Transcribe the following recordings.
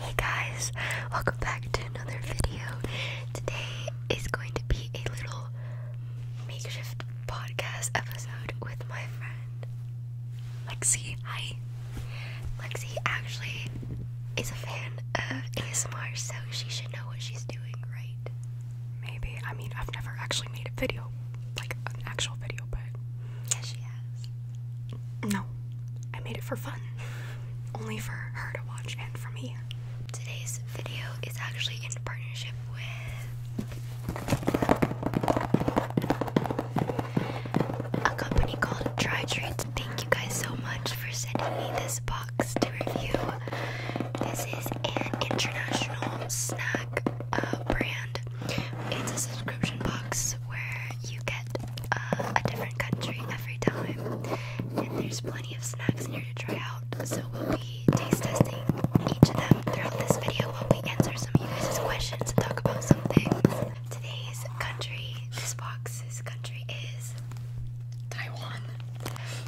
Hey guys, welcome back to another video. Today is going to be a little makeshift podcast episode with my friend Lexi. Hi. Lexi actually is a fan of ASMR, so she should know what she's doing, right? Maybe. I mean, I've never actually made a video, like an actual video, but. Yeah, she has. No, I made it for fun. Only for her to watch and for me. Today's video is actually in partnership with a company called Dry Treats. Thank you guys so much for sending me this box to review. This is an international snack uh, brand it's a subscription box where you get uh, a different country every time, and there's plenty of snacks in here to try out. So we'll be taste testing each of them throughout this video while we answer some of you guys' questions and talk about some things. Today's country, this box, box's country is Taiwan.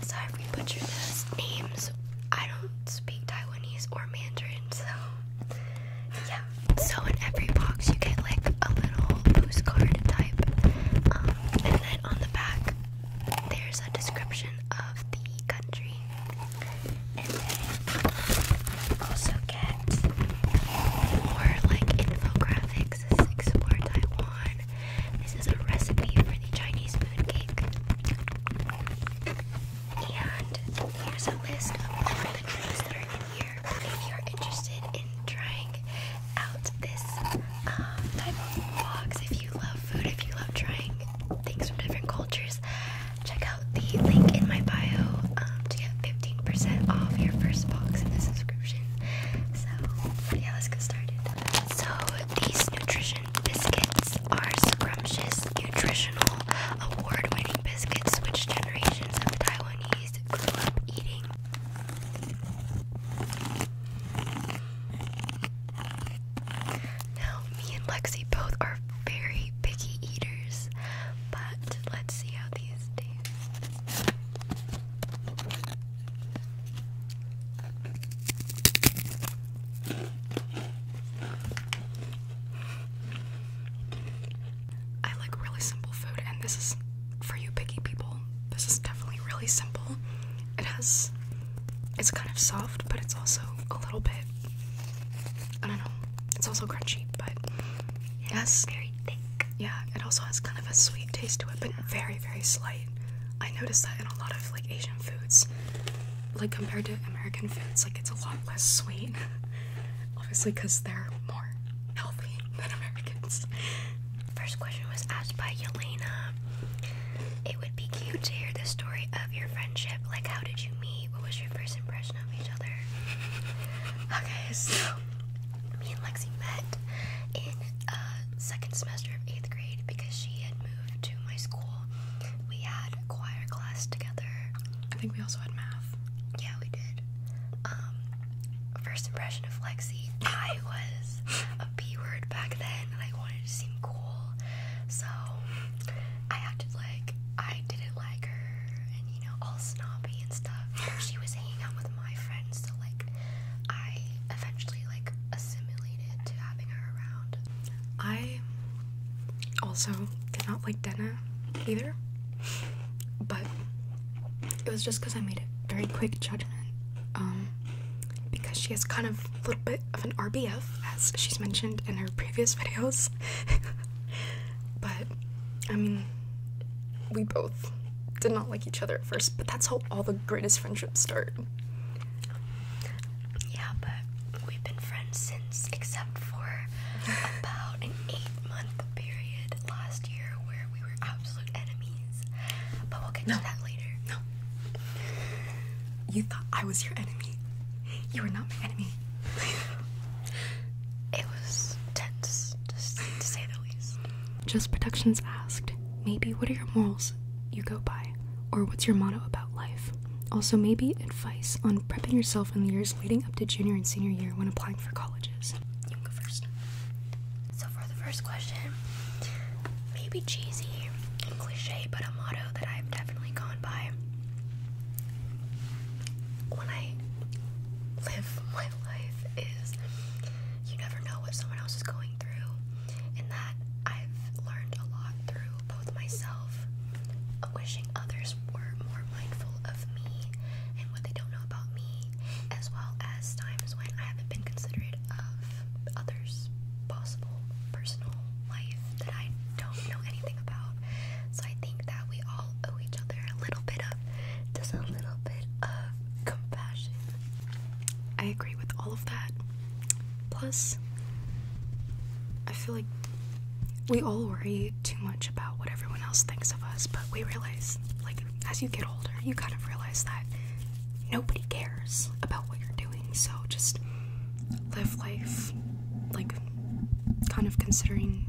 Sorry if we butchered the names. I don't speak Taiwanese or Mandarin, so yeah. So in every box you get like a little postcard type, um, and then on the back there's a description of the country, and then you also get more like infographics. This explore Taiwan. This is a recipe for the Chinese moon cake. And here's a list of all the treats that are in here. If you're interested in trying out this um, type of box, if you love food, if you love trying things from different cultures, check out the link in my bio um, to get 15% off your first box in the subscription. So, yeah, let's get started. So, these nutrition biscuits are scrumptious, nutritional, award winning biscuits, which generations of Taiwanese grew up eating. Now, me and Lexi both are very picky eaters, but let's see how these taste. I like really simple food, and this is for you picky people. This is definitely really simple. It has, it's kind of soft, but it's also a little bit, I don't know, it's also crunchy, but it very thick. Yeah, it also has kind of a sweet taste to it, but very, very slight. I noticed that in a lot of like Asian foods, like compared to American foods, like it's a lot less sweet. obviously because they're more healthy than Americans. First question was asked by Yelena. It would be cute to hear the story of your friendship. Like, how did you meet? What was your first impression of each other? okay, so me and Lexi met in uh, second semester of eighth grade because she had moved to my school. We had choir class together. I think we also had math. Yeah, we did. Um, first impression of Lexi, I was a B word back then, and I wanted to seem cool, so I acted like I didn't like her, and you know, all snobby and stuff. she was hanging out with my friends, so like, I eventually like assimilated to having her around. I also did not like Denna either, but it was just because I made a very quick judgment. Um, because she has kind of a little bit of an RBF, as she's mentioned in her previous videos. but I mean, we both did not like each other at first, but that's how all the greatest friendships start. Yeah, but we've been friends since except for about an eight month period last year where we were absolute enemies. But we'll get to that later. No. You thought I was your enemy. You were not my enemy. it was tense, just to say the least. Just Productions asked, maybe what are your morals you go by? Or what's your motto about life? Also, maybe advice on prepping yourself in the years leading up to junior and senior year when applying for colleges. You go first. So, for the first question, maybe cheesy and cliche, but a motto that I've definitely gone by when I live my life is you never know what someone else is going through, and that I've learned a lot through both myself wishing others were more mindful of me and what they don't know about me, as well as times when I haven't been considerate of others' possible personal life that I don't know anything about. So I think that we all owe each other a little bit of just a little bit of compassion. I agree with all of that. Plus, I feel like we all worry too much about what everyone else thinks of us, but we realize, like, as you get older, you kind of realize that nobody cares about what you're doing. So just live life, like, kind of considering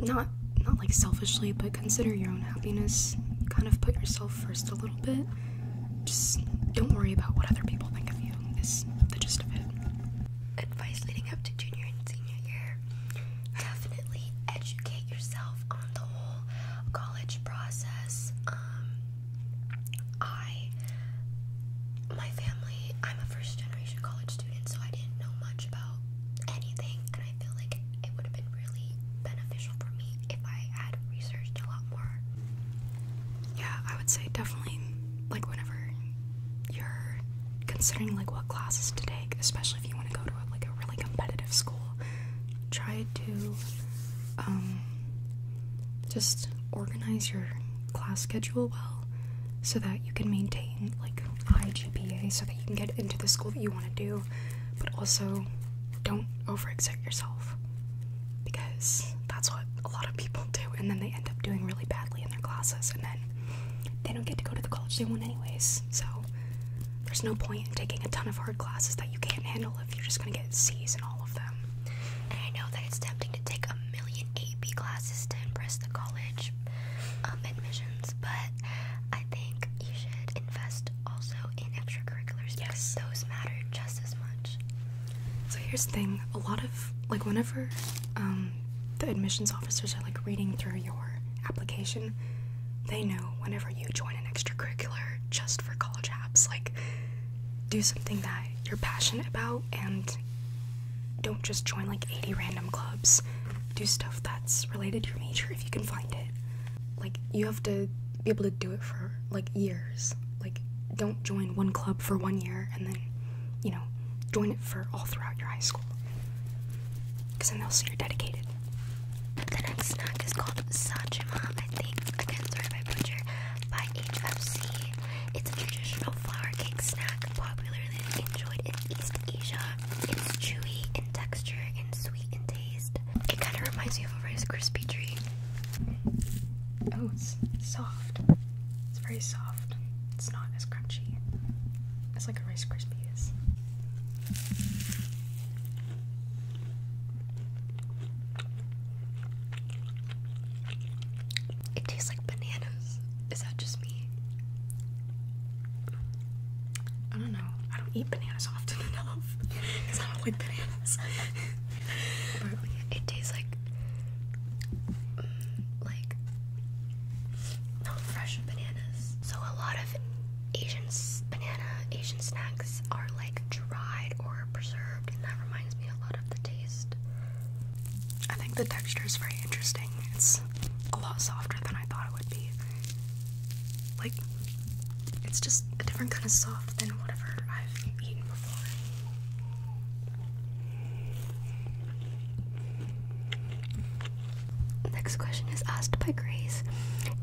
not not like selfishly, but consider your own happiness. Kind of put yourself first a little bit. Just don't worry about what other people think of you. Is the gist of it advice leading up to junior and senior year. Definitely educate yourself on the whole college process. Um, I, my family, I'm a first generation college student, so I didn't know much about anything, and I feel like it would have been really beneficial for me if I had researched a lot more. Yeah, I would say definitely, like, whenever you're considering like what classes to take, especially if you want to go to a, like a really competitive school, try to um, just organize your class schedule well so that you can maintain like high GPA so that you can get into the school that you want to do, but also don't overexert yourself because that's what a lot of people do and then they end up doing really badly in their classes and then they don't get to go to the college they want anyways. So there's no point in taking a ton of hard classes that you can't handle if you're just gonna get C's in all of them. And I know that it's tempting to take a million AP classes to impress the college um, admissions, but I think you should invest also in extracurriculars because those matter just as much. So here's the thing: a lot of like whenever um, the admissions officers are like reading through your application, they know whenever you join an extracurricular just for college apps, like do something that you're passionate about and don't just join like 80 random clubs. Do stuff that's related to your major if you can find it. Like, you have to be able to do it for like years. Like, don't join one club for one year and then you know, join it for all throughout your high school. Because then they'll see you're dedicated. The next snack is called Sachima, I think. Again, sorry if I By HFC. It's a traditional flour cake snack popularly enjoyed in East Asia. It's chewy in texture and sweet in taste. It kind of reminds me of a Rice Krispie treat. Oh, it's soft. It's very soft. It's not as crunchy. It's like a Rice Krispie. It tastes like bananas. Is that just me? I don't know. I don't eat bananas often enough because I don't like it tastes like like fresh bananas. So a lot of Asian banana Asian snacks are like dried or preserved, and that reminds me a lot of the taste. I think the texture is very interesting. It's a lot softer than I thought it would be. Like, it's just a different kind of soft than whatever I've eaten before. Next question is asked by Grace.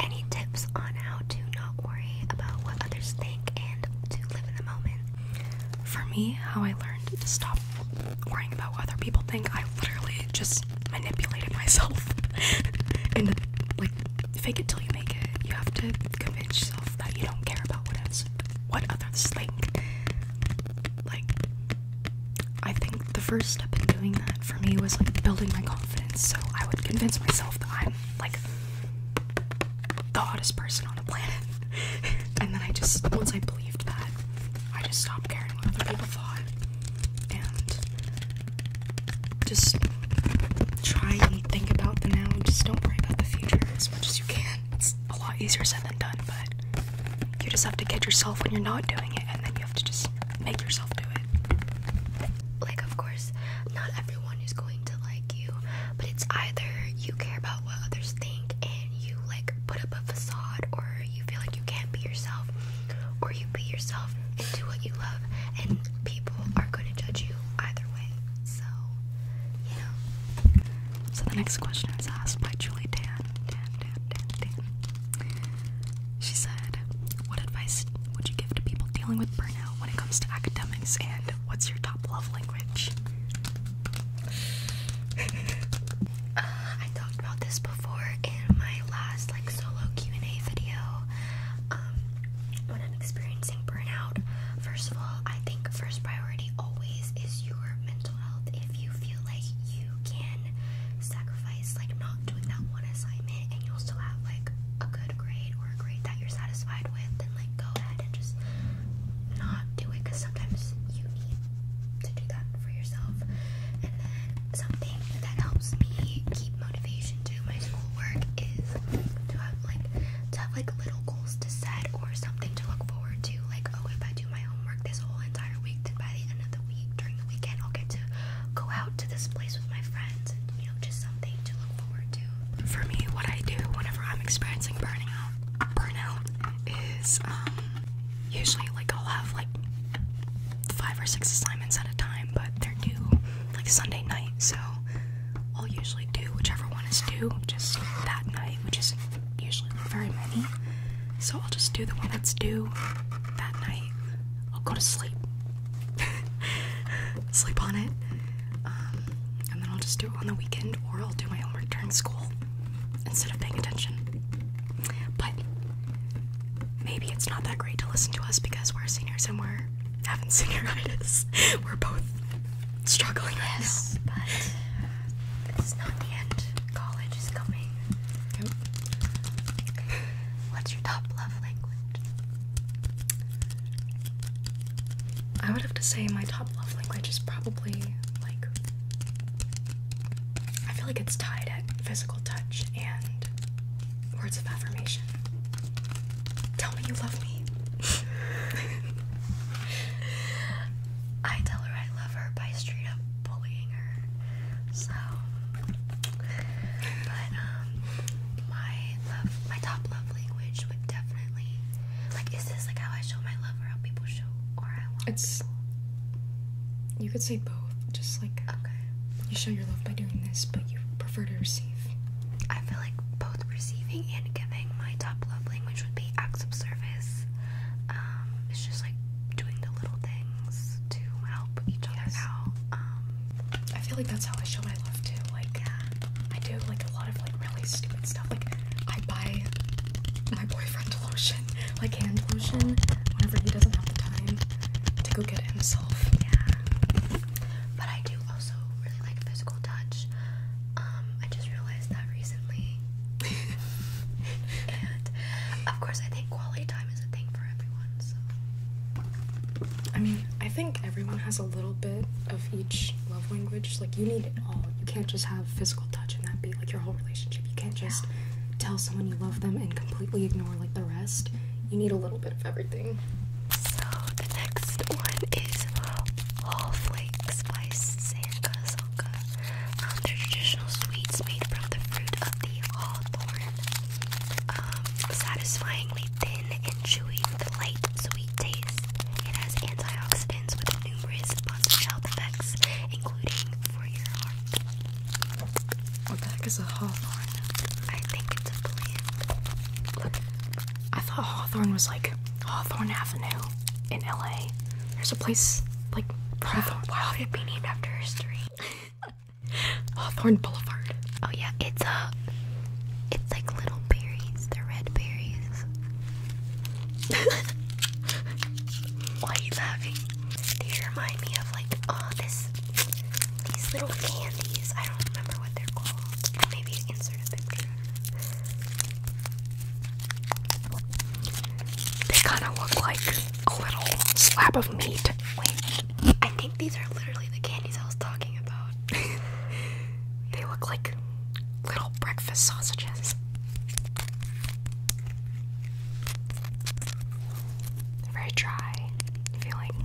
Any tips on how to not worry about what others think and to live in the moment? For me, how I learned to stop worrying about what other people think, I literally just manipulated myself. and like fake it till you make it. You have to convince yourself that you don't care about what what others think. Like I think the first step in doing that for me was like building my confidence. So I would convince myself that I'm like the hottest person on the planet. and then I just, once I believed that, I just stopped caring what other people thought. And just try and think about the now. Just don't worry about the future as much as you can. It's a lot easier said than done, but you just have to get yourself when you're not doing it, and then you have to just make yourself do it. Like, of course, not everyone is going to like you, but it's either you care about what others think and you like put up a facade, or you feel like you can't be yourself, or you be yourself and do what you love, and people are going to judge you either way. So, you know. So, the next question is asked by Julie Dan. Dan she said, What advice would you give to people dealing with burnout when it comes to academics and what's your top love language? uh, I talked about this before in my last like solo Q&A video. Um, when I'm experiencing burnout, first of all, I think first priority always is your mental health. If you feel like you can sacrifice sacrifice like not doing that one assignment and you'll still have like a good grade or a grade that you're satisfied with, then like go ahead and just not do it because sometimes you need to do that for yourself. And then something that helps me keep motivation to my schoolwork is to have like to have like little goals to set or something to look forward to. Like, oh, if I do my homework this whole entire week. Then by the end of the week, during the weekend, I'll get to go out to this place with my friends and, you know, just something to look forward to. For me, what I do whenever I'm experiencing burning out, burnout is um, usually like I'll have like five or six assignments at a time, but they're due like Sunday night, so I'll usually do whichever one is due just that night, which isn't usually very many. So I'll just do the one that's due that night. I'll go to sleep. sleep on it. Um, and then I'll just do it on the weekend or I'll do my homework during school instead of paying attention. But maybe it's not that great to listen to us because we're seniors and we're having senioritis. we're both struggling yes, right now. But it's not the end. College is coming. What's your top love language? I would have to say my top love language is probably like I feel like it's tied at physical touch and words of affirmation. Tell me you love me. I tell her I love her by straight up bullying her. So, but um, my love, my top love language would definitely like. Is this like how I show my love, or how people show, or I want it's, You could say both. Just like okay, you show your love by doing this, but you prefer to receive. I feel like both receiving and giving. My top love language would be acts of service. Um, it's just like doing the little things to help each other out. Um, I feel like that's how I show my love too. Like, I do like a lot of like really stupid stuff. Like, I buy my boyfriend lotion, like hand lotion, whenever he doesn't have the time to go get himself. Yeah. But I do also really like physical touch. Um, I just realized that recently. and of course, I think quality time is a thing for everyone, so I mean, I think everyone has a little bit of each love language. Like you need it all. You can't just have physical touch and that be like your whole relationship. You can't just tell someone you love them and completely ignore like the rest. You need a little bit of everything. So the next one is Hall Flake Spice Sanka Sanka. Um, traditional sweets made from the fruit of the hawthorn um, satisfyingly thin and chewy with a light, sweet taste. It has antioxidants with numerous positive health effects, including for your heart. What the heck is a hawthorn? I think it's a plant. Look, I thought Hawthorne was like Hawthorne Avenue in LA. There's a place like Hawthorne. Why would it be named after history? Hawthorne Boulevard. Oh yeah, it's a, uh, it's like little berries. They're red berries. Why are you laughing? They remind me of like, oh this, these little candies. I don't remember what they're called. Maybe insert a picture. They kind of look like a little slab of meat. Wait, I think these are literally the candies I was talking about. they look like little breakfast sausages. very dry feeling.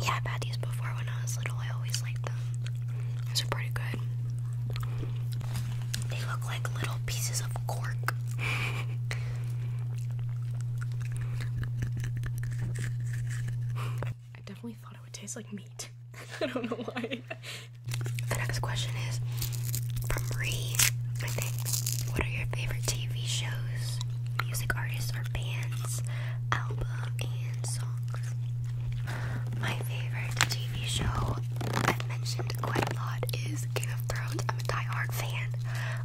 Yeah, i had these before when I was little. I always liked them. These are pretty good. They look like little pieces of cork. I definitely thought it would taste like meat. I don't know why. The next question is from Re. What are your favorite TV shows, music artists, or bands, album, and songs? My favorite TV show I've mentioned quite a lot is Game of Thrones. I'm a diehard fan.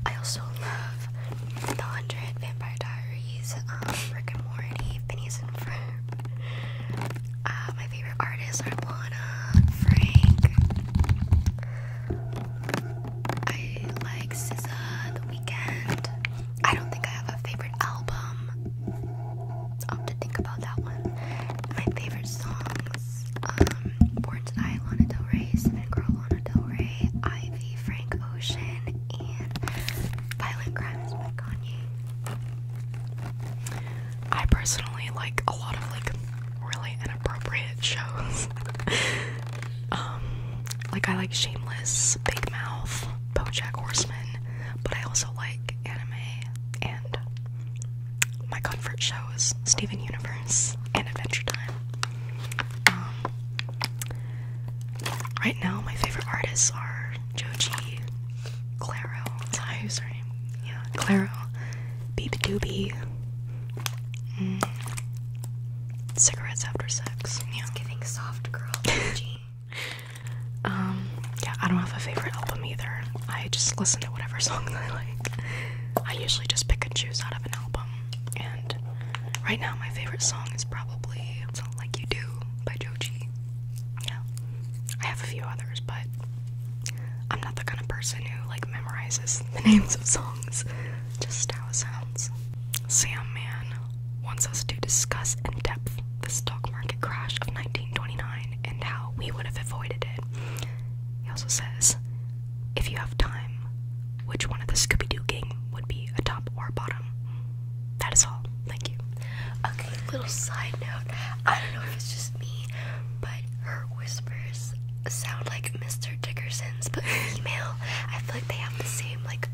I also love The Hundred, Vampire Diaries, um, Rick and Morty, Phineas and Ferb. Uh, my favorite artists are Lana, Frank. I like SZA, The Weeknd. I don't think I have a favorite album. I'll have to think about that one. My favorite songs, um, Born to Die, Lana Del Rey, Cinnamon Girl, Lana Del Rey, Ivy, Frank Ocean, and Violent Crimes by Kanye. I personally like a lot of like really inappropriate shows. Um, like I like Shameless, Big Mouth, BoJack Horseman, but I also like anime and my comfort shows Steven Universe and Adventure Time. Um, right now, my favorite artists are Joji, Claro, Ty's her name, yeah, Claro, Beep Doobie, mm, Cigarettes After Sex. Yeah. It's soft girl Joji. Um, yeah, I don't have a favorite album either. I just listen to whatever song I like. I usually just pick and choose out of an album. And right now, my favorite song is probably Sound Like You Do by Joji. Yeah, I have a few others, but I'm not the kind of person who like memorizes the names of songs. Just how it sounds. Sam Man wants us to discuss in depth the stock market crash of 1929 and how we would have avoided it. He also says, if you have time, which one of the Scooby Doo gang would be a top or a bottom? That is all. Thank you. Okay, little side note. I don't know if it's just me, but her whispers sound like Mr. Dickerson's, but female. I feel like they have the same, like,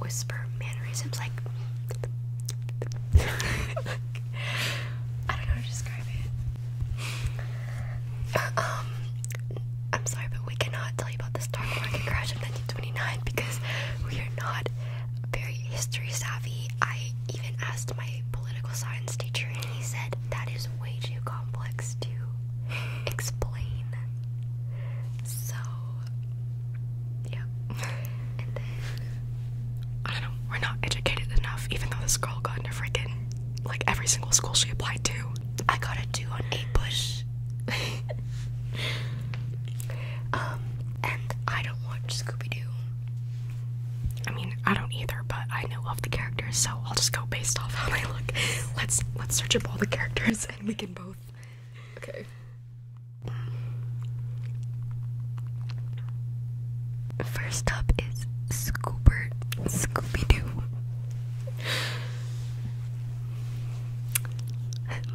whisper mannerisms, like. I don't know how to describe it. Uh, um, I'm sorry, but we cannot tell you about the stock crash of 1929 because we are not very history savvy. I even asked my political science teacher, and he said that is way too complex to explain. So yeah. And then I don't know, we're not educated enough, even though this girl got into freaking like every single school she applied to. I got a two on eight push. um, and I don't watch Scooby Doo. I mean, I don't either, but I know of the characters, so I'll just go based off how they look. Let's let's search up all the characters and we can both. Okay. First up is Scooper Scooby Doo.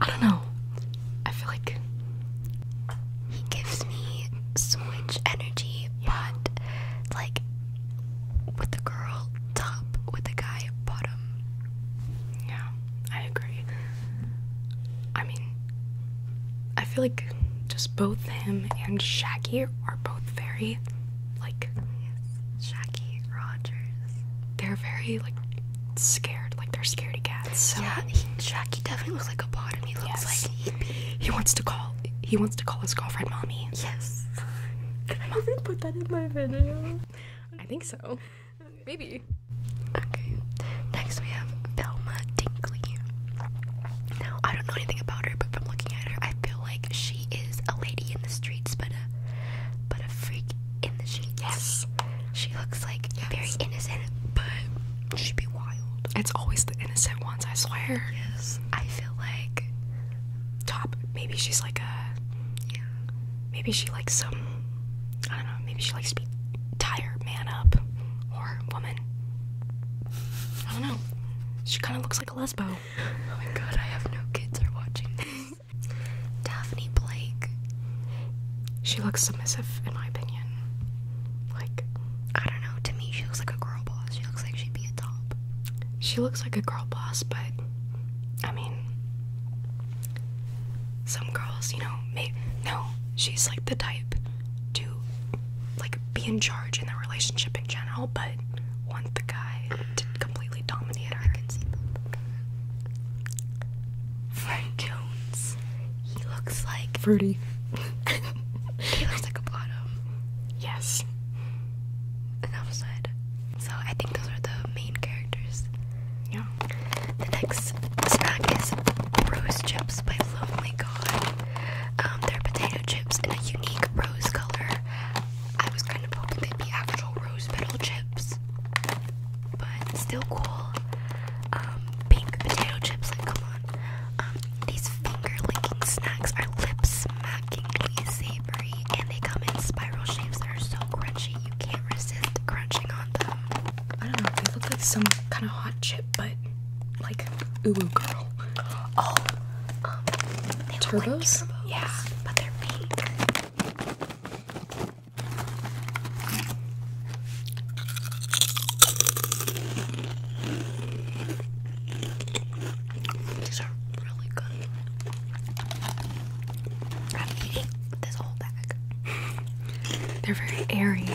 I don't know. I feel like he gives me so much energy, but like with the girl top, with the guy bottom. Yeah, I agree. I mean, I feel like just both him and Shaggy are both very, like, Shaggy Rogers. They're very like scared, like they're scaredy cats. So. Yeah, Shaggy definitely looks like a bottom. He looks like he He wants to call. He wants to call his girlfriend mommy. Yes. Can I even put that in my video? I think so. Maybe. Okay. Next we have Velma Dinkley. Now I don't know anything about her, but from looking at her, I feel like she is a lady in the streets, but a but a freak in the sheets. Yes. She looks like yes. very innocent, but she'd be wild. It's always the innocent ones, I swear. Yes. I feel like top. Maybe she's like a. Yeah. Maybe she likes some. I don't know. Maybe she likes to be tired, man up, or woman I don't know. She kind of looks like a lesbo. Oh my god, I have no kids are watching Daphne Blake. She looks submissive, in my opinion. Like, I don't know. To me, she looks like a girl boss. She looks like she'd be a top. She looks like a girl boss, but I mean, some girls, you know, may no. She's like the type to like be in charge in their relationship in general, but want the guy to completely dominate her. I can see Frank Jones. He looks like fruity. he looks like a bottom. Yes. An upside. So I think those are the main characters. Yeah. The next snack is Rose Chips by Lonely um, they're potato chips in a unique rose color. I was kind of hoping they'd be actual rose petal chips, but still cool. Um, pink potato chips, like come on. Um, these finger licking snacks are lip smackingly savory, and they come in spiral shapes that are so crunchy you can't resist crunching on them. I don't know. They look like some kind of hot chip, but like ooh girl. Oh, um, they turbos? Look Yeah, but they're pink. These are really good. I'm eating this whole bag. They're very airy.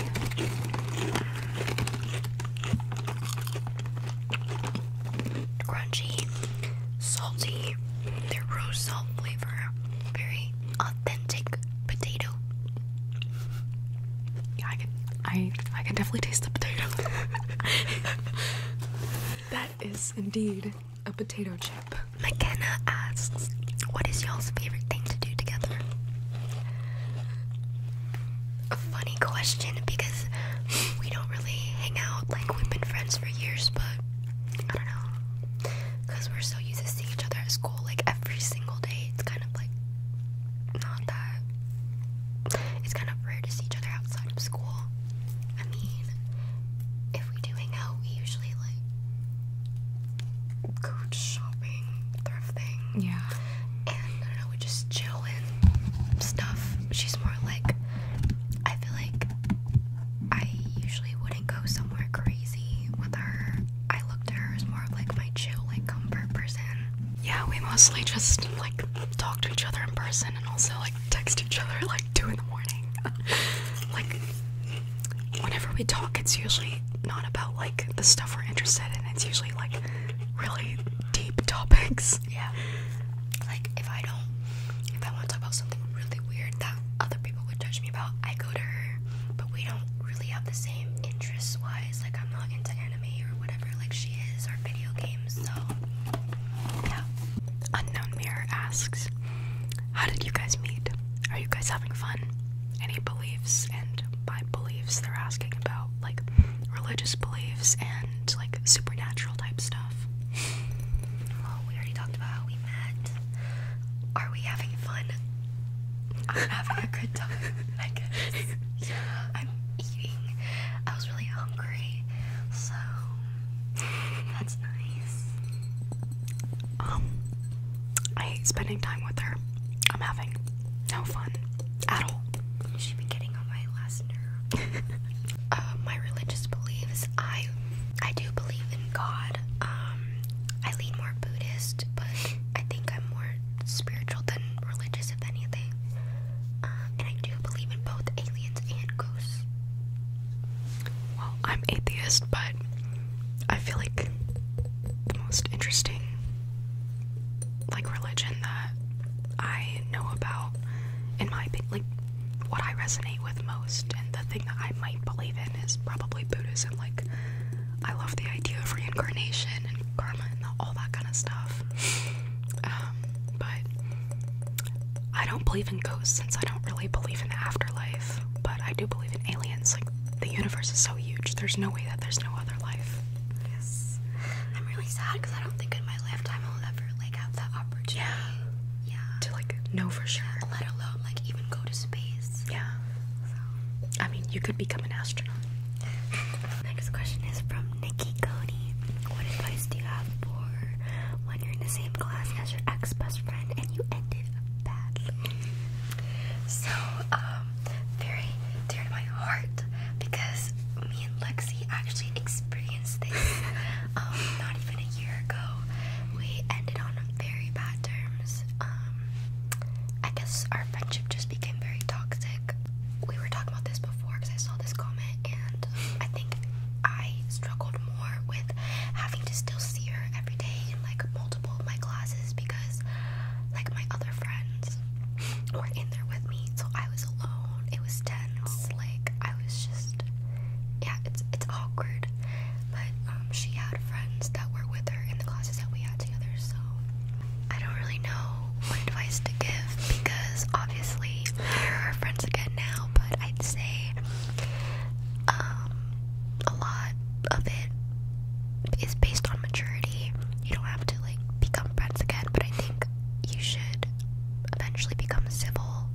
Crunchy, salty. They're rose salt flavor. Very authentic potato. I can I I can definitely taste the potato. that is indeed a potato chip. McKenna asks, what is y'all's favorite thing to do together? a funny question because we don't really hang out like we've been friends for years, but I don't know because we're so used to seeing each other at school like every single day. It's kind of like not that it's kind of rare to see each other outside of school. I mean, if we do hang out, we usually like go shopping thrifting. Yeah. And I don't know, we just chill and stuff. She's more like, I feel like I usually wouldn't go somewhere crazy with her. I looked at her as more of like my chill, like comfort person. Yeah, we mostly just like talk to each other in person and also like text each other like two in the morning. like, whenever we talk, it's usually not about like the stuff we're interested in, it's usually like really deep topics. Yeah. Like if I don't, if I want to talk about something really weird that other people would judge me about, I go to her. But we don't really have the same interests wise. Like I'm not into anime or whatever, like she is, or video games. So yeah. Unknown Mirror asks, "How did you guys meet? Are you guys having fun?" any beliefs, and by beliefs, they're asking about like religious beliefs and like supernatural type stuff. Well, we already talked about how we met. Are we having fun? I'm having a good time, I I'm eating. I was really hungry, so that's nice. Um, I hate spending time with her. I'm having no fun at all. She's been getting on my last nerve. Uh, my religious beliefs, I I do believe in God. Um, I lean more Buddhist, but I think I'm more spiritual than religious, if anything. Um, and I do believe in both aliens and ghosts. Well, I'm atheist, but I feel like the most interesting like religion that I know about in my opinion like what I resonate with most and the thing that I might believe in is probably Buddhism. Like I love the idea of reincarnation and karma and all that kind of stuff. Um, but I don't believe in ghosts since I don't really believe in the afterlife, but I do believe in aliens. Like the universe is so huge, there's no way that there's no other life. Yes. I'm really sad because I don't think in my lifetime I'll ever like have that opportunity. Yeah. yeah. To like know for sure. let alone like even go to space. Yeah. So. I mean, you could become an astronaut. Next question is from Nikki Cody. What advice do you have for when you're in the same class as your ex best friend and you ended badly? So, um, very dear to my heart because me and Lexi actually experienced this um, not even a year ago. We ended on very bad terms. Um, I guess our friendship just became very toxic. We were talking about this before because I saw this comment, and I think I struggled more with having to still see her every day in like multiple of my classes because like my other friends were in there with me, so I was alone. It was tense. Like I was just, yeah, it's it's awkward. But um, she had friends that were with her in the classes that we had together. So I don't really know what advice to give because obviously we're friends again now. But I'd say um, a lot of it is based on maturity. You don't have to like become friends again, but I think you should eventually become civil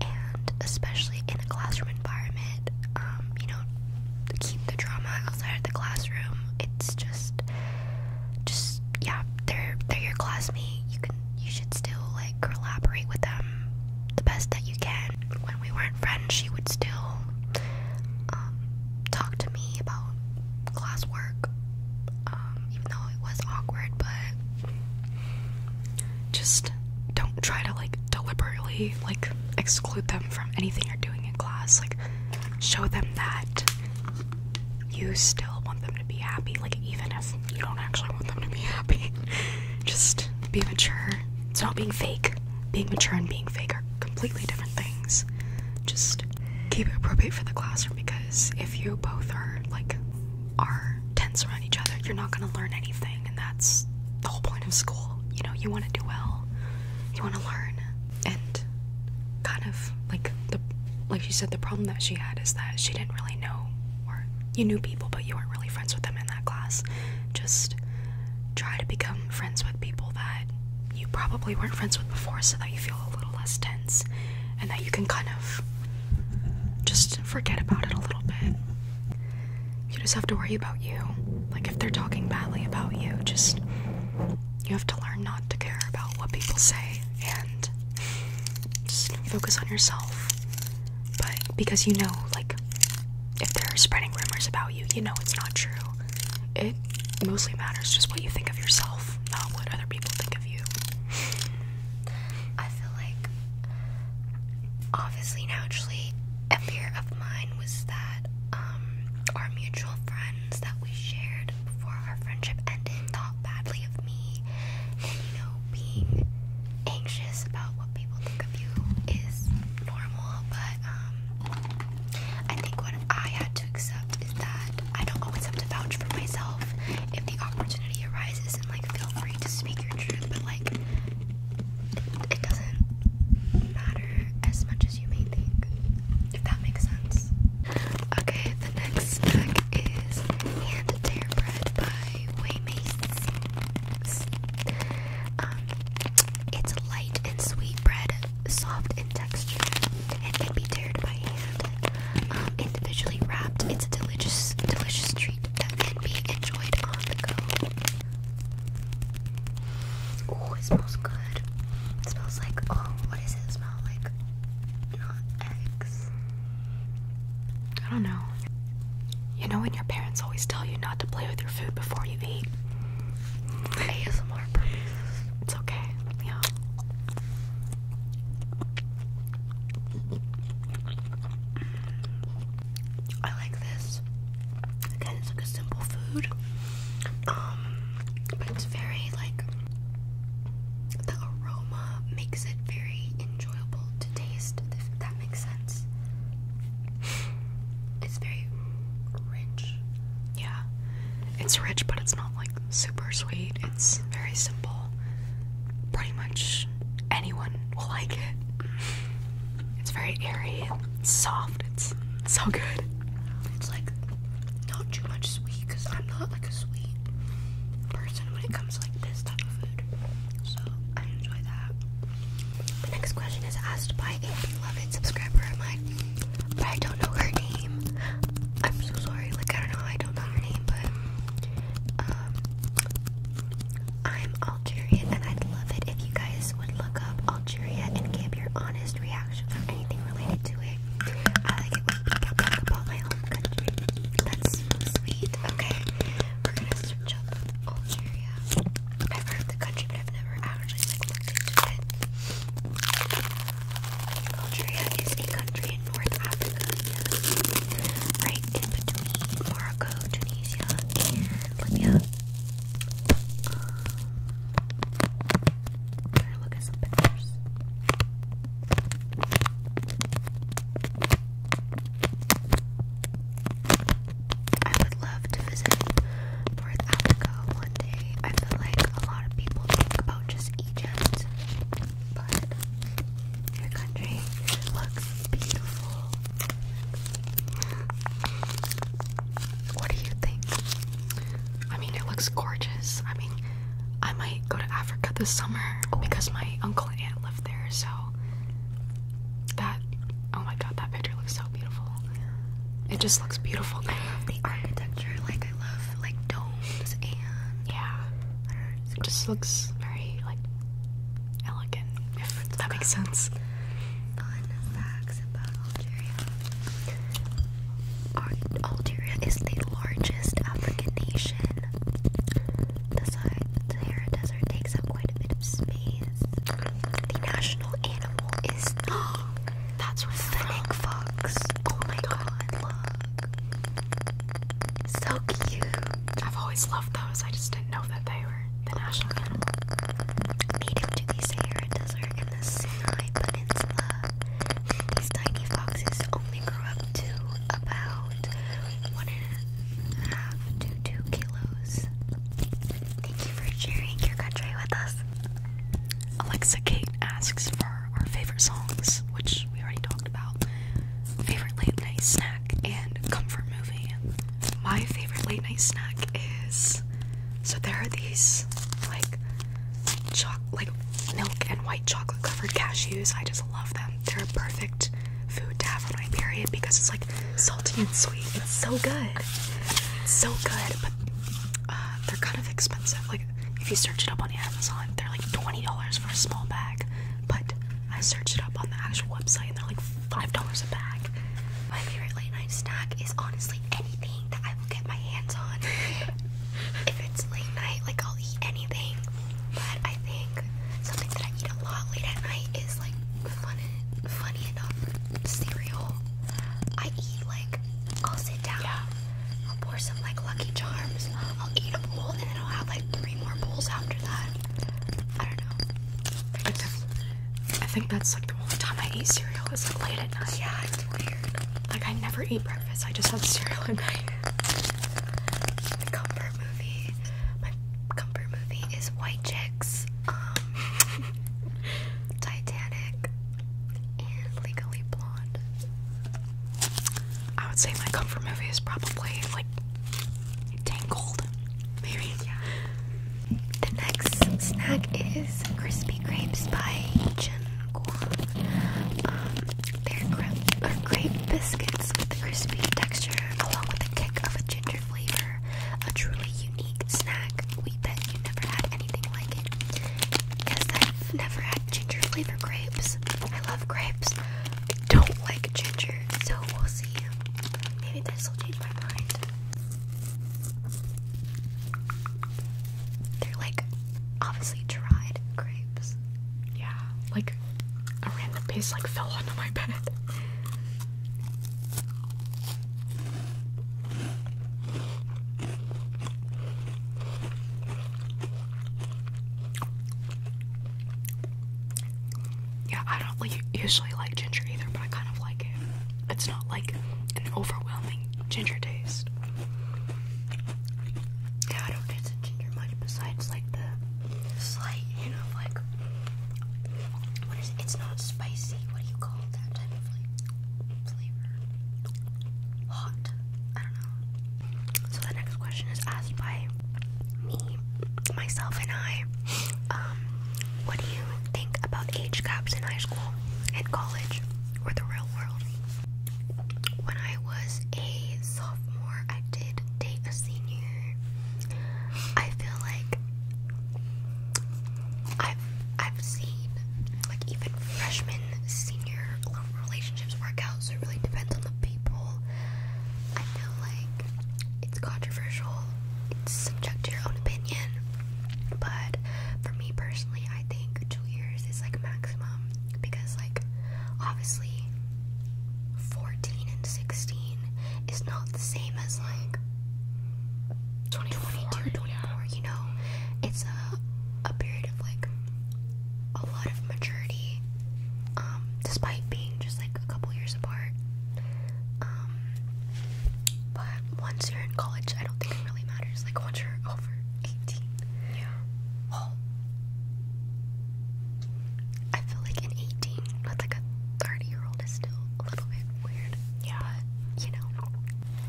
and especially in a classroom environment, um, you know, keep the drama outside of the classroom. It's just just yeah, they're they're your classmate. You can you should still like collaborate with them the best that you can. When we weren't friends, she would still um, talk to me about classwork, um, even though it was awkward, but just don't try to like deliberately like exclude them from anything you're doing in class. Like, show them that you still want them to be happy, like, even if you don't actually want them to be happy. just be mature. It's not being fake. Being mature and being fake are completely different things. Just keep it appropriate for the classroom because if you both are like are tense around each other, you're not gonna learn anything, and that's the whole point of school. You know, you want to do well, you want to learn, and kind of like the like she said, the problem that she had is that she didn't really know, or you knew people, but you weren't really friends with them in that class. Just try to become friends with people that you probably weren't friends with before so that you feel a little less tense and that you can kind of just forget about it a little bit. You just have to worry about you. Like if they're talking badly about you, just you have to learn not to care about what people say and just focus on yourself. But because you know, like, if they're spreading rumors about you, you know it's not true it mostly matters just what you think of yourself, not what other people think of you. I feel like obviously naturally a fear of mine was that um, our mutual friends that we shared before our friendship ended thought badly of me you know being anxious about what people think of you is normal but um, I think what I had to accept is that I don't always have to vouch for myself if the opportunity arises and like feel free to speak your truth, but like it, doesn't matter as much as you may think, if that makes sense. Okay, the next snack is hand tear bread by Waymates. Um, it's light and sweet bread, soft in texture, it can be teared by hand. Um, individually wrapped, it's a delicious, delicious treat that can be enjoyed on the go. Oh, it smells good. It smells like oh, what does it smell like? Not eggs. I don't know. You know when your parents always tell you not to play with your food before you eat? It's okay. Yeah. I like this. Again, it's like a simple food. Um, but it's very like the aroma makes it very enjoyable to taste, if that makes sense. It's very rich. Yeah. It's rich, but it's not like super sweet. It's very simple. Pretty much anyone will like it. It's very airy and soft. It's so good. It's like not too much sweet because I'm not like a sweet person when it comes to like this type of food. So I enjoy that. The next question is asked by a beloved subscriber of mine but I don't know her name. I'm so sorry. Like I don't know. I don't know her name, but um, I'm Algerian, and I'd love it if you guys would look up Algeria and give your honest reactions or anything related to it. I like it when people talk about my home country. That's sweet. Okay, we're gonna search up Algeria. I've heard of the country, but I've never actually like looked into it. Algeria is a country in North Africa, right in between Morocco, Tunisia, Libya. Um, to look at some pictures. I would love to visit North Africa one day. I feel like a lot of people think about just Egypt, but your country looks beautiful. What do you think? I mean, it looks gorgeous. I mean, I might go to Africa this summer because my uncle and aunt live there, so that oh my god, that picture looks so beautiful. It just looks beautiful. the architecture, like I love like domes and yeah. it just looks very like elegant. that makes sense. Fun facts about Algeria. Algeria is the largest African nation. The Sahara Desert takes up quite a bit of space. The national animal is the That's where the fox. Oh my god, look. So cute. I've always loved those. I just didn't know that they were the national animal. Native to the Sahara Desert and the Sinai Peninsula. These tiny foxes only grow up to about one and a half to two kilos. Thank you for sharing your country with us. Alexa Kate asks for our favorite songs, which we already talked about, favorite late night snack, and comfort movie. My favorite late night snack is so there are these like choc like milk and white chocolate covered cashews. I just love them. They're a perfect food to have for my period because it's like salty and sweet. It's so good. so good, but uh, they're kind of expensive. Like if you search it up on Amazon, they're like $20 for a small bag. But I searched it up on the actual website and they're like $5 a bag. My favorite late night snack is honestly anything that I will get my hands on. if it's late night, like I'll eat anything. But I think something that I eat a lot late at night is like fun funny enough cereal. I eat like I'll sit down I'll pour some like Lucky Charms. I'll eat a bowl and then I'll have like three more bowls after that. I don't know. I, think that's like the only time I eat cereal is like late at night. Yeah, it's weird. Like I never eat breakfast. I just have cereal at My comfort movie. My comfort movie is White Chicks, um, Titanic, and Legally Blonde. I would say my comfort movie is probably like Tangled, maybe. The next snack is crispy grapes by Jin Guang. Um, they're uh, grape, biscuits with the crispy texture, along with a kick of a ginger flavor. A truly unique snack. We bet you never had anything like it. Guess I've never had ginger flavor grapes. I love grapes. I don't like ginger, so we'll see. Maybe this will change my mind. They're like obviously dried grapes. Yeah, like a random piece like fell onto my bed. Yeah, I don't usually like ginger either, but I kind of like it. It's not like an overwhelming ginger taste. Yeah, I don't taste ginger much besides like the slight you know, like what is it? It's not spicy. What do you call that type of flavor? Hot. I don't know. So the next question is asked by me, myself, and I. Um, what do you think about age gaps in high school and college or the real world? When I was a sophomore, I did date a senior. I feel like I've I've seen like even freshman, senior relationships work out, so it really depends on the people. I feel like it's controversial, it's subject to your own opinion, but for me personally, I think two years is like maximum because, like, obviously, 14 and 16 is not the same as like 2022, 24, you know, it's a, a period of like a lot of maturity, um, despite being just like a couple years apart. Um, but once you're in college, I don't think it really matters. Like once you're over 18, yeah. Well, I feel like an 18 with like a 30 year old is still a little bit weird. Yeah. you know.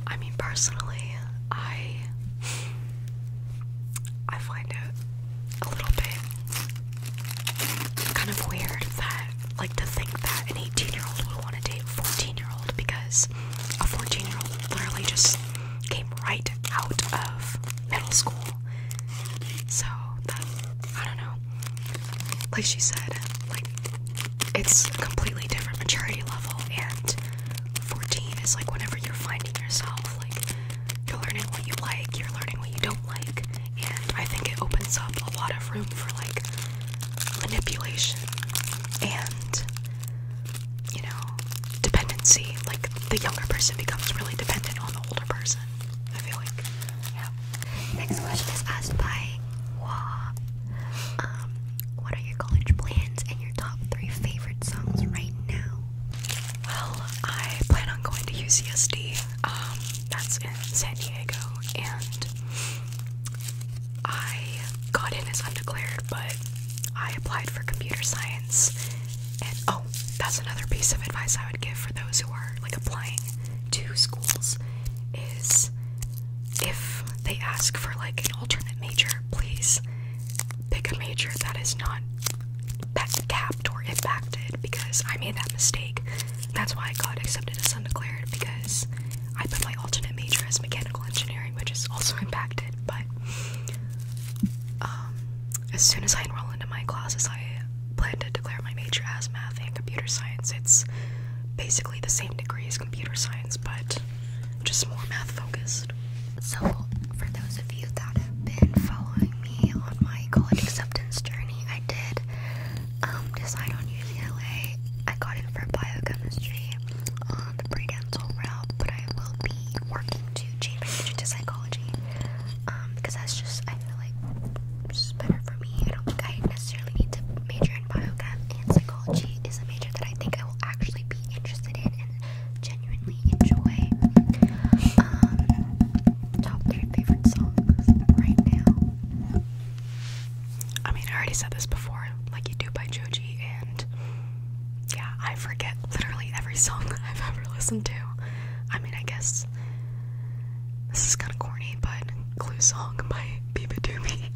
I mean, personally, I I find it a little bit kind of weird that, like, to think that an 18 year old would want to date a 14 year old because a 14 year old literally just came right out of middle school. So, that, I don't know. Like she said, like, it's a completely different maturity level, and 14 is like whenever you're finding yourself you're learning what you like, you're learning what you don't like, and I think it opens up a lot of room for like manipulation and you know dependency. Like the younger person becomes really dependent on the older person. I feel like. Yeah. Next question is asked by Wah. Um, what are your college plans and your top three favorite songs right now? Well, I plan on going to UCSD. Um, that's in San Diego, and I got in as undeclared, but I applied for computer science. And oh, that's another piece of advice I would give for those who are like applying to schools is if they ask for like an alternate major, please pick a major that is not capped or impacted because I made that mistake. That's why I got accepted as undeclared because I put my alternate major as mechanical engineering, which is also impacted. But um, as soon as I enroll into my classes, I plan to declare my major as math and computer science. It's basically the same degree as computer science, but just more math focused. So, for those of you that have been following me on my college acceptance journey, I did um, decide on using LA. I got in for biochemistry on the pre-dental route, but I will be working to change my major to psychology um, because that's just, I feel like, just better for me. I don't think I necessarily need to major in biochem, and psychology is a major that I think I will actually be interested in genuinely enjoy. Um, top three favorite songs right now. I mean, I already said this before, like you do by Joji, and yeah, I forget literally every song that I've ever listened to. I mean, I guess this is kind of corny, but Clue Song by Biba Doobie.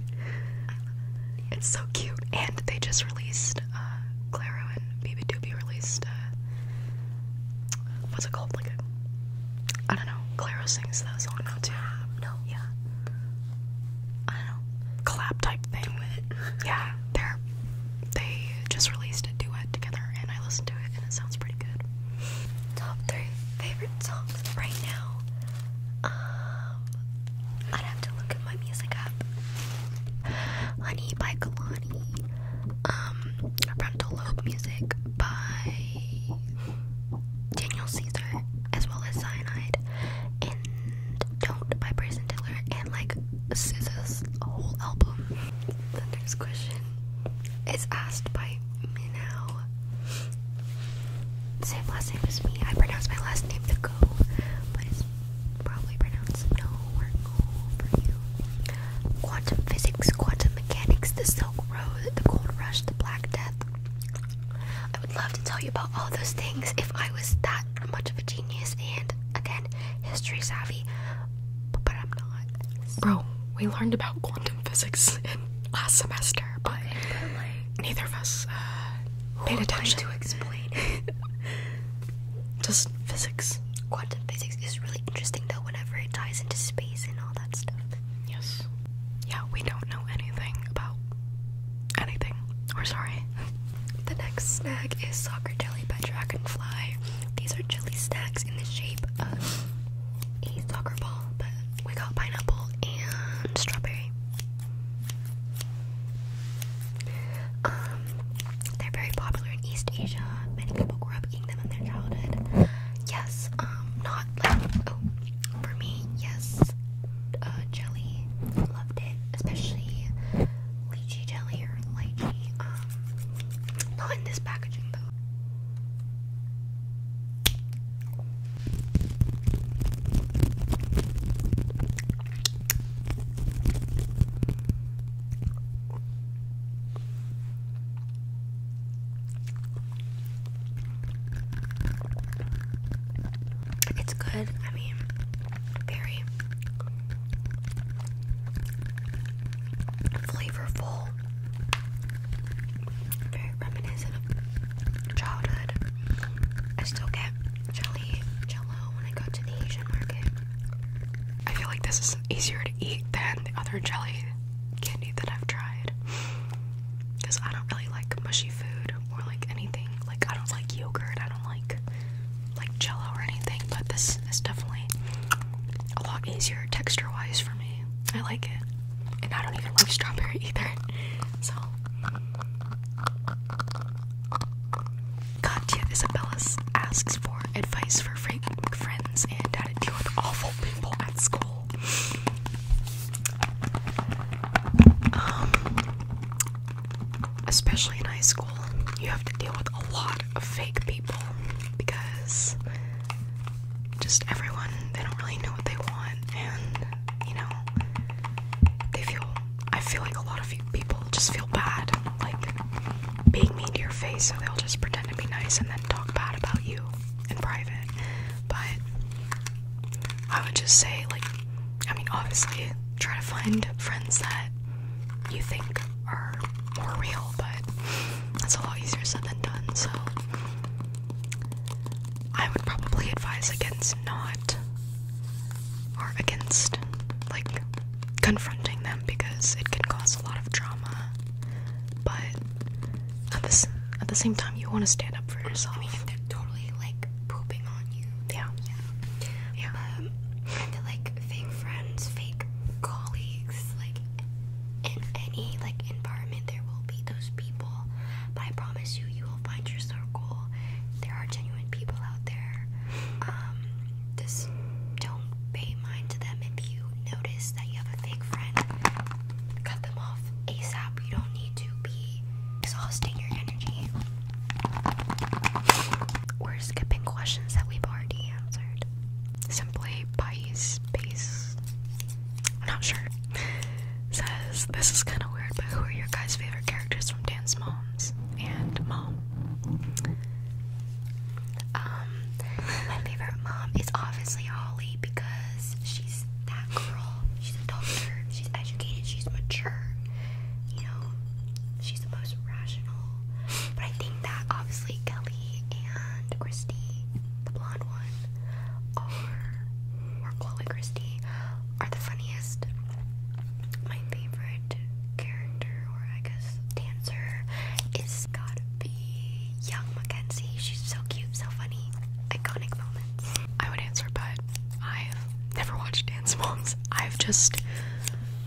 It's so cute, and they just released released uh, Claro and Baby Doobie released uh, what's it called? Like a, I don't know. Claro sings that song now too. No, yeah. I don't know. Collab type thing. with it. Yeah, they're they just released a duet together, and I listened to it, and it sounds pretty good. Top three favorite songs right now. Um, I'd have to look at my music app. Honey by Kalani. Um, Frontal Music by Daniel Caesar, as well as Cyanide, and Don't by Bryson Tiller, and like SZA's whole album. The next question is asked by Minnow. Same last name as me. I pronounce my last name the Go, probably pronounce no or no for you. Quantum physics, quantum mechanics, the Silk Road, the Gold Rush, the Black Death. I would love to tell you about all those things if I was that much of a genius and, again, history savvy, but I'm not. Bro, we learned about quantum physics in last semester, but, neither of us uh, paid attention to explain Just physics. Quantum physics is really interesting though whenever it ties into space and all that stuff. Yes. Yeah, we don't know anything about anything. Or sorry. the next snack is soccer jelly by Dragonfly. These are jelly snacks in the shape of a soccer ball, but we got pineapple and strawberry. Um, they're very popular in East Asia. Many people grew up eating them in their childhood. Yes, um, not like, oh, for me, yes, uh, jelly, loved it, especially lychee jelly or lychee, um, not in this packaging though. It's good. I mean, very flavorful. Very reminiscent of childhood. I still get jelly jello when I go to the Asian market. I feel like this is easier to eat than the other jelly candy that I've tried. Because I don't really like mushy food or like anything. Like I don't like yogurt, I don't like like jello or anything, but this is definitely a lot easier texture wise for me. I like it. And I don't even like strawberry either. So Katya Isabellis asks for advice for friends and how to deal with awful people at school. Um, especially in high school, you have to deal with a lot of fake people because just everyone, they don't really know what they want, and you know, they feel. I feel like a lot of people just feel bad, like being mean to your face, so they'll just pretend to be nice and then talk bad about you in private. But I would just say, like, I mean, obviously, try to find friends that you think are more real, but that's a lot easier said than done, so I would probably advise against not or against like confronting them because it can cause a lot of drama. But at the at the same time, you want to stand up for yourself. I mean, they're totally like pooping on you, yeah, yeah, yeah. Um, and like fake friends, fake colleagues, like in any like environment, there will be those people. But I promise you, you will find your circle. There are genuine people out there. Um, just don't pay mind to them. If you notice that you have a fake friend, cut them off ASAP. You don't need to be exhausting your energy. We're skipping questions that we've already answered. Simply Pies Base. I'm not sure. Says this is kind of weird, but who are your guys' favorite characters from Dance Moms and Mom? Um, my favorite mom is obviously Holly because she's that girl. She's a doctor. She's educated. She's mature. You know, she's the most rational. But I think that obviously Kelly and Christy, the blonde one, are or Chloe Christie are the funniest. My favorite character I guess dancer is gotta be young Mackenzie. She's so cute, so funny. Iconic moments. I would answer, but I've never watched Dance Moms. I've just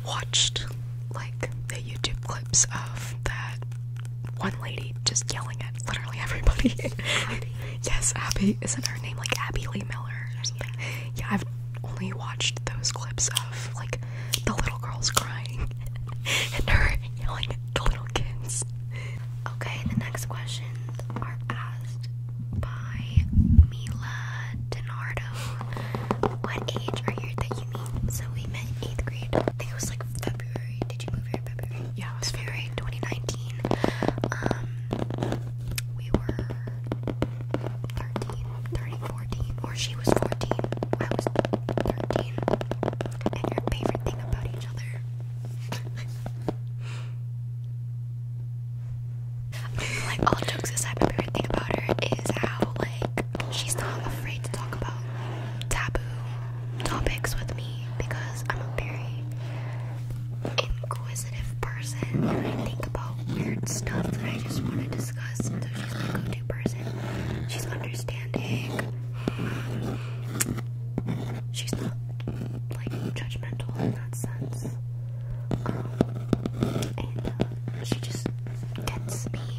watched like the YouTube clips of that one lady just yelling at literally everybody. yes, Abby. Isn't her name like Abby Lee Miller or something? Yeah, I've only watched those clips of like the little girls crying and her yelling at the little kids. Okay, the next questions are asked by Mila Donardo. What age are you that you meet? So we met eighth grade. I think it was like February. Did you move here in February? Yeah, it was February 2019. Um, we were 13, or she was 14, I was 13, and your favorite thing about each other. like, all jokes aside, my favorite thing about her is how, like, she's not afraid to talk about taboo topics with me because I'm a very inquisitive person and I think about weird stuff that I just want to discuss. So she's my go-to person she's understanding. She's not like judgmental in that sense. Um, and uh, she just gets me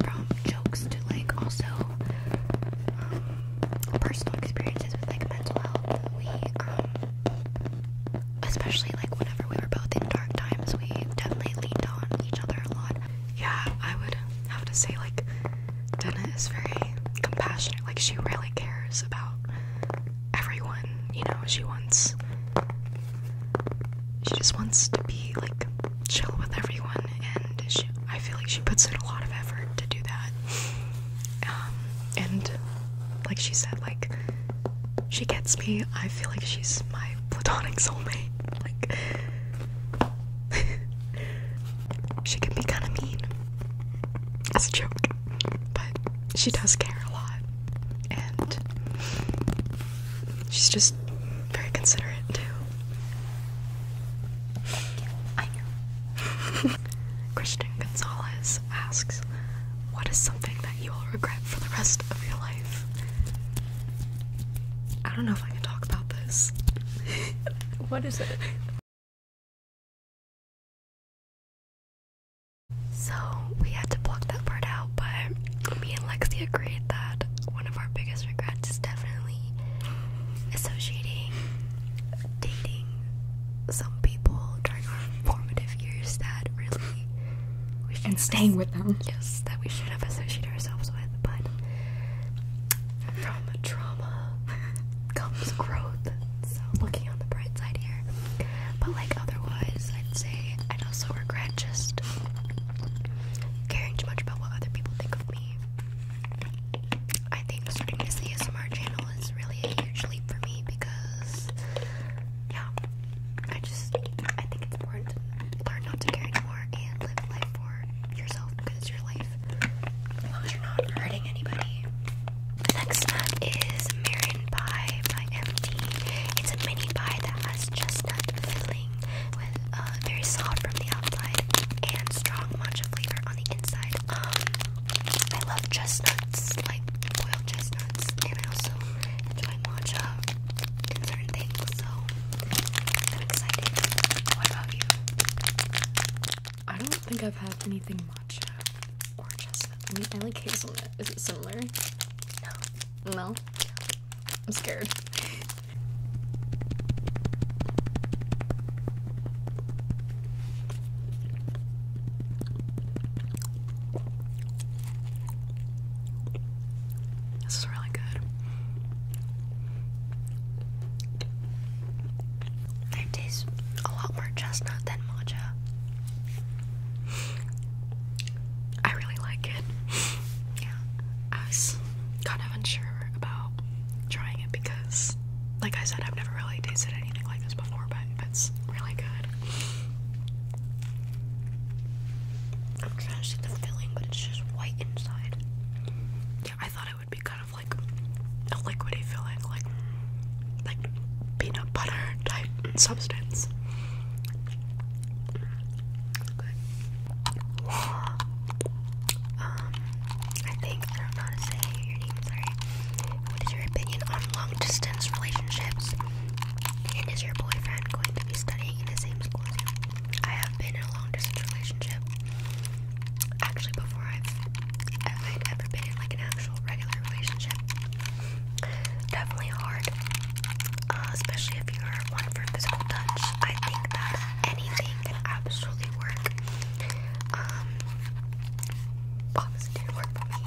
from jokes to like also um, personal experiences with like mental health. We um, especially like whenever we were both in dark times, we definitely leaned on each other a lot. Yeah, I would have to say like Dana is very compassionate. Like she really cares about everyone. You know, she wants she just wants to be like chill with everyone, and she, I feel like she puts in a lot of effort to do that. Um, and like she said, like she gets me. I feel like she's my platonic soulmate. Like she can be kind of mean. As a joke. But she does care a lot. And she's just very considerate too. I know. Christian Gonzalez asks, What is something that you will regret for the rest of your life. I don't know if I can talk about this. what is it? So we had to block that part out, but me and Lexi agreed that one of our biggest regrets is definitely associating, dating some people during our formative years that really we should and staying with them. Yes, that we should have associated ourselves with, but from the trauma comes growth. So looking on the bright side here. But like otherwise, I'd say I'd also regret just caring too much about what other people think of me. I think starting this ASMR channel is really a huge leap for me because, yeah, I just, I think it's important to learn not to care anymore and live life for yourself because it's your life. As you're not hurting anybody. The Next up is Marion Pie by MD. It's a mini pie that has chestnut filling with uh, very soft from the outside and strong matcha flavor on the inside. Um, I love chestnuts, like boiled chestnuts, and I also enjoy matcha and certain things, so I'm excited. What about you? I don't think I've had anything matcha or chestnut. I like hazelnut. Is it similar? No. No? I'm scared. This is really good. It tastes a lot more chestnut than matcha. I really like it. Yeah, I was kind of unsure about trying it because, like I said, I've never really tasted anything like this before, but it's really good. I'm trying to see the filling, but it's just white inside. Yeah, I thought it would be kind of like a liquidy filling, like like peanut butter type substance. Um, I think I don't know how to say your name. Sorry. What is your opinion on long-distance relationships? And is your boyfriend going to be studying in the same school as you? I have been in a long distance relationship. Actually, before I've, ever been in like an actual regular relationship. Definitely hard, uh, especially if you're one for physical touch. I think that anything can absolutely work. Um, obviously didn't work for me,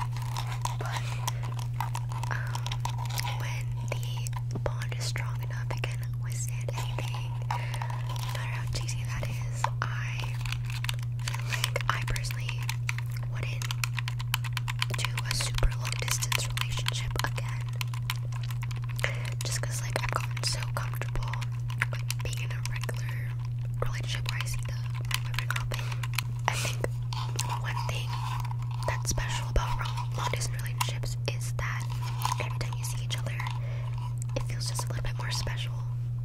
but um, when the bond is strong enough, it can withstand anything, no matter how cheesy that is. I feel like I personally wouldn't do a super long distance relationship again, just because like I've gotten so comfortable being in a regular relationship where I see the women girl thing. I think one thing that's special about long distance relationships is that every time you see each other, it feels just a little bit more special.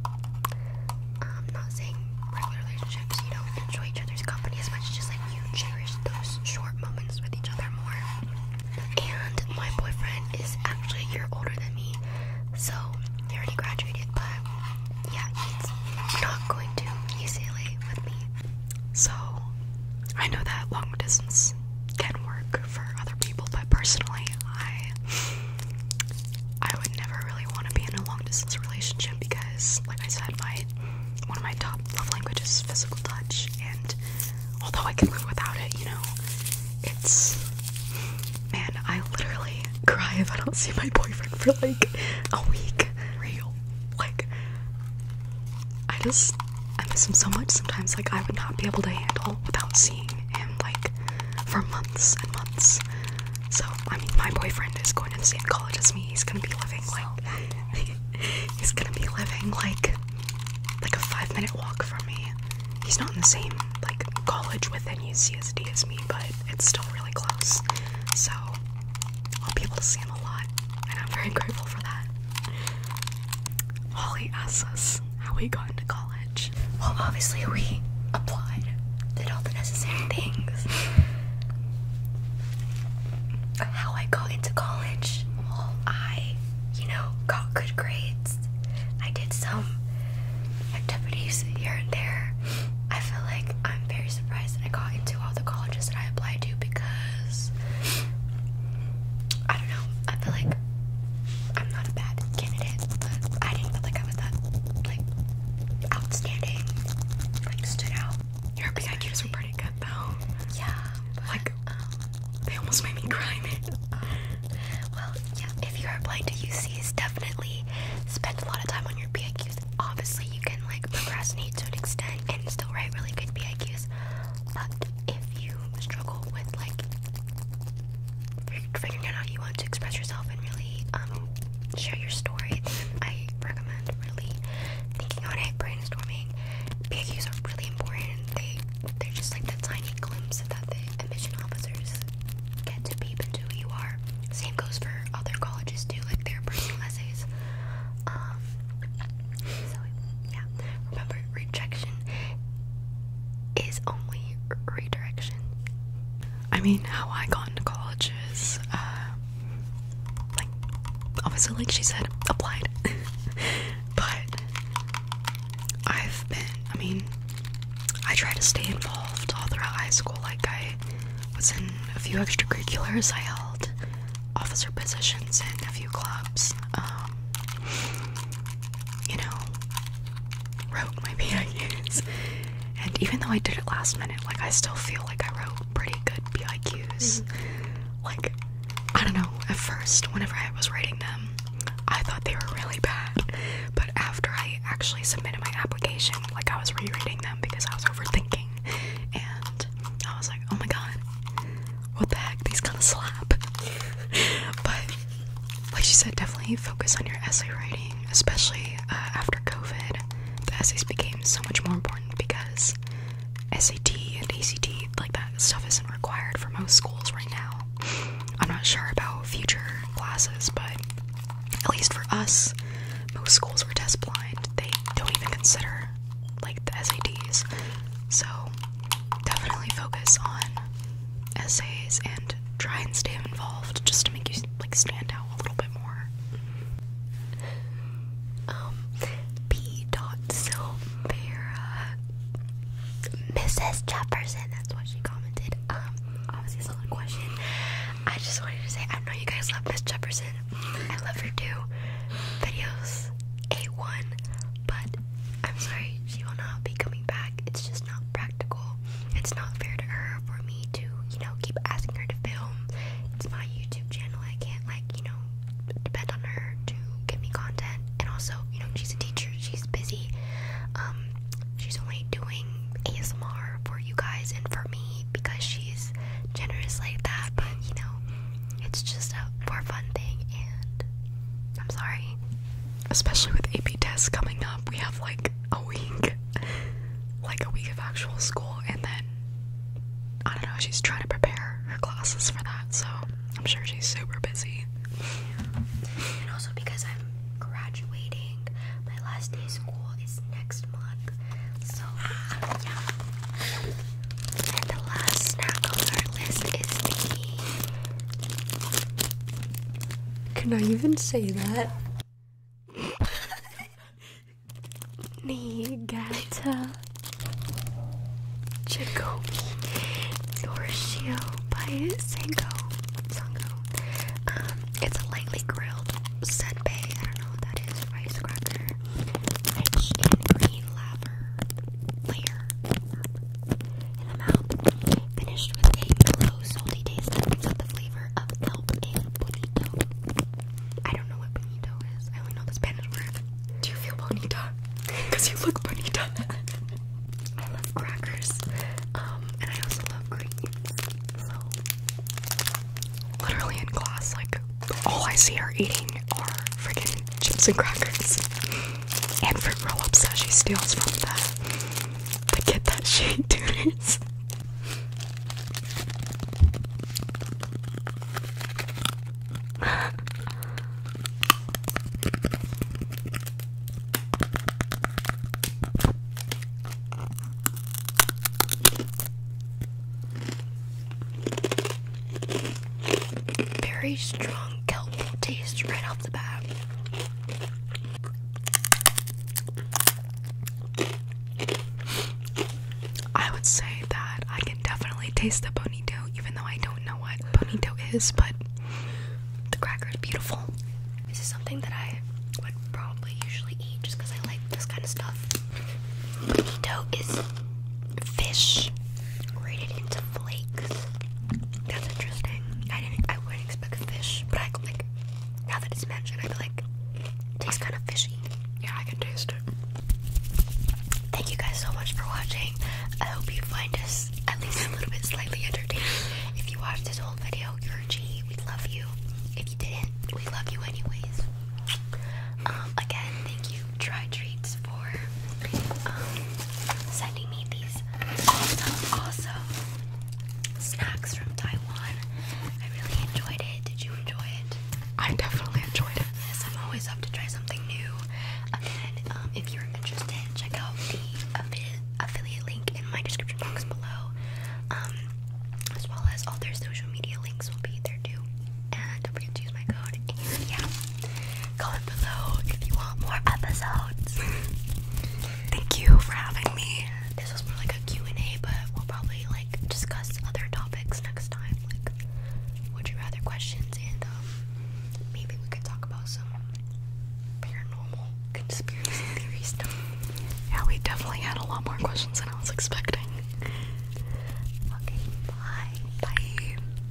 I'm um, not saying regular relationships you don't enjoy each other's company as much, just like you cherish those short moments with each other more. And my boyfriend is actually a year older than me, so he already graduated, but yeah, he's not going to UCLA with me. So I know that long distance can work for other people, but personally, I I would never really want to be in a long distance relationship because, like I said, my one of my top love languages is physical touch, and although I can live without it, you know, it's man, I literally cry if I don't see my boyfriend for like a week. Real, like I just I miss him so much sometimes, like I would not be able to handle without seeing him like for months and months. So I mean my boyfriend is going to the same college as me. He's gonna be living like he's gonna be living like like a five minute walk from me. He's not in the same like college within UCSD as me, but it's still really close. So I'll be able to see him a lot and I'm very grateful for that. Holly asks us how we got into college. Well, obviously, we applied, did all the necessary things. How I got into college? Well, I, you know, got good grades. I did some activities here and there. I feel like I'm very surprised that I got into all the colleges that I applied to because I don't know. I feel like I'm not a bad candidate, but I didn't feel like I was that like outstanding, like stood out. Your PIQs were pretty good though. Yeah. like um, they almost made me cry. well, yeah. If you are applying to UCs, definitely spend a lot of time on your PIQs. Obviously, you can like procrastinate to an extent and still write really good PIQs, but if you struggle with like figuring out how you want to express yourself and really um, share your story, I recommend really thinking on it, brainstorming. PAQs are really important. They they're just like the tiny glimpse that the admission officers get to peep into who you are. Same goes for other colleges too, like their personal essays. Um, yeah. Remember, rejection is only redirection. I mean, how I got into college is, uh, like, obviously, like she said, applied. but I've been, I mean, I try to stay involved all throughout high school. Like, I was in a few extracurriculars I held officer positions and a few clubs. Um, you know, wrote my PIQs. And even though I did it last minute, like I still feel like I wrote pretty good PIQs. Mm-hmm. Like, I don't know, at first, whenever I was writing them, I thought they were really bad. But after I actually submitted my application, like I was rereading them because I was overthinking. And I was like, oh my god, what the heck? These kind of slap. but like she said, definitely focus on your essay writing, especially uh, after COVID. The essays became so much more important because SAT and ACT, like that stuff, isn't required for most schools right now. I'm not sure about future classes, but at least for us, most schools were test blind. They don't even consider like the SADS, So definitely focus on essays and try and stay involved just to make you like stand out a little bit more. Um, P dot Silvera Mrs. Jefferson, that's what she commented. Um obviously it's not question. I just wanted to say I know you guys love Miss Jefferson. I love her too. Videos A1 but I'm sorry, she will not be coming back. It's just not practical. It's not fair to her for me to, you know, keep asking her to film. It's my YouTube channel. I can't, like, you know, depend on her to give me content. And also, you know, she's a teacher. She's busy. Um, she's only doing ASMR for you guys and for me because she's generous like that. But you know, it's just a more fun thing, and I'm sorry. Especially with AP tests coming up, we have like a week, like a week of actual school, and then I don't know. She's trying to prepare her classes for that, so I'm sure she's super busy. And also because I'm graduating, my last day of school is next month, so yeah. And the last snack on our list is the. Can I even say that? Negata Jacobi Norshio by Sango. Sango. Um, it's a lightly grilled senbei. I don't know what that is. Rice cracker. Rich in green lavender layer up the mouth. Finished with a low salty taste that the flavor of kelp and bonito. I don't know what bonito is. I only know the Spanish word. Do you feel bonita? Because you look bonita. I love crackers. Um, and I also love green. So literally in class, like all I see are eating are freaking chips and crackers and for roll-ups she steals from the the kid that she tutors. Very strong kelp taste right off the bat. I would say that I can definitely taste the bonito, even though I don't know what bonito is, but the cracker is beautiful. This is something that I would probably usually eat just because I like this kind of stuff. Bonito is fish grated into flakes. That's interesting. I didn't. I wouldn't expect fish, but I like. Now that it's mentioned, I feel like tastes kind of fishy. Yeah, I can taste it. Thank you guys so much for watching. I hope you find us at least a little bit slightly entertaining. If you watched this whole video, you're a G. We love you. If you didn't, we love you anyways. Um, again, thank you dry treats for um, sending me these. Also, um, also, snacks from Taiwan. I really enjoyed it. Did you enjoy it? I definitely enjoyed it. I'm always up to try something new. Again, um, if you're interested, check out the affiliate, link in my description box below. as well as all their social media links will be there too. And don't forget to use my code. And yeah, Comment below if you want more episodes. Thank you for having me. This was more like a Q&A, but we'll probably like discuss other topics next time. Like, would you rather questions, and um, maybe we could talk about some paranormal conspiracy theory stuff. Yeah, we definitely had a lot more questions than I was expecting. Okay, bye. Bye.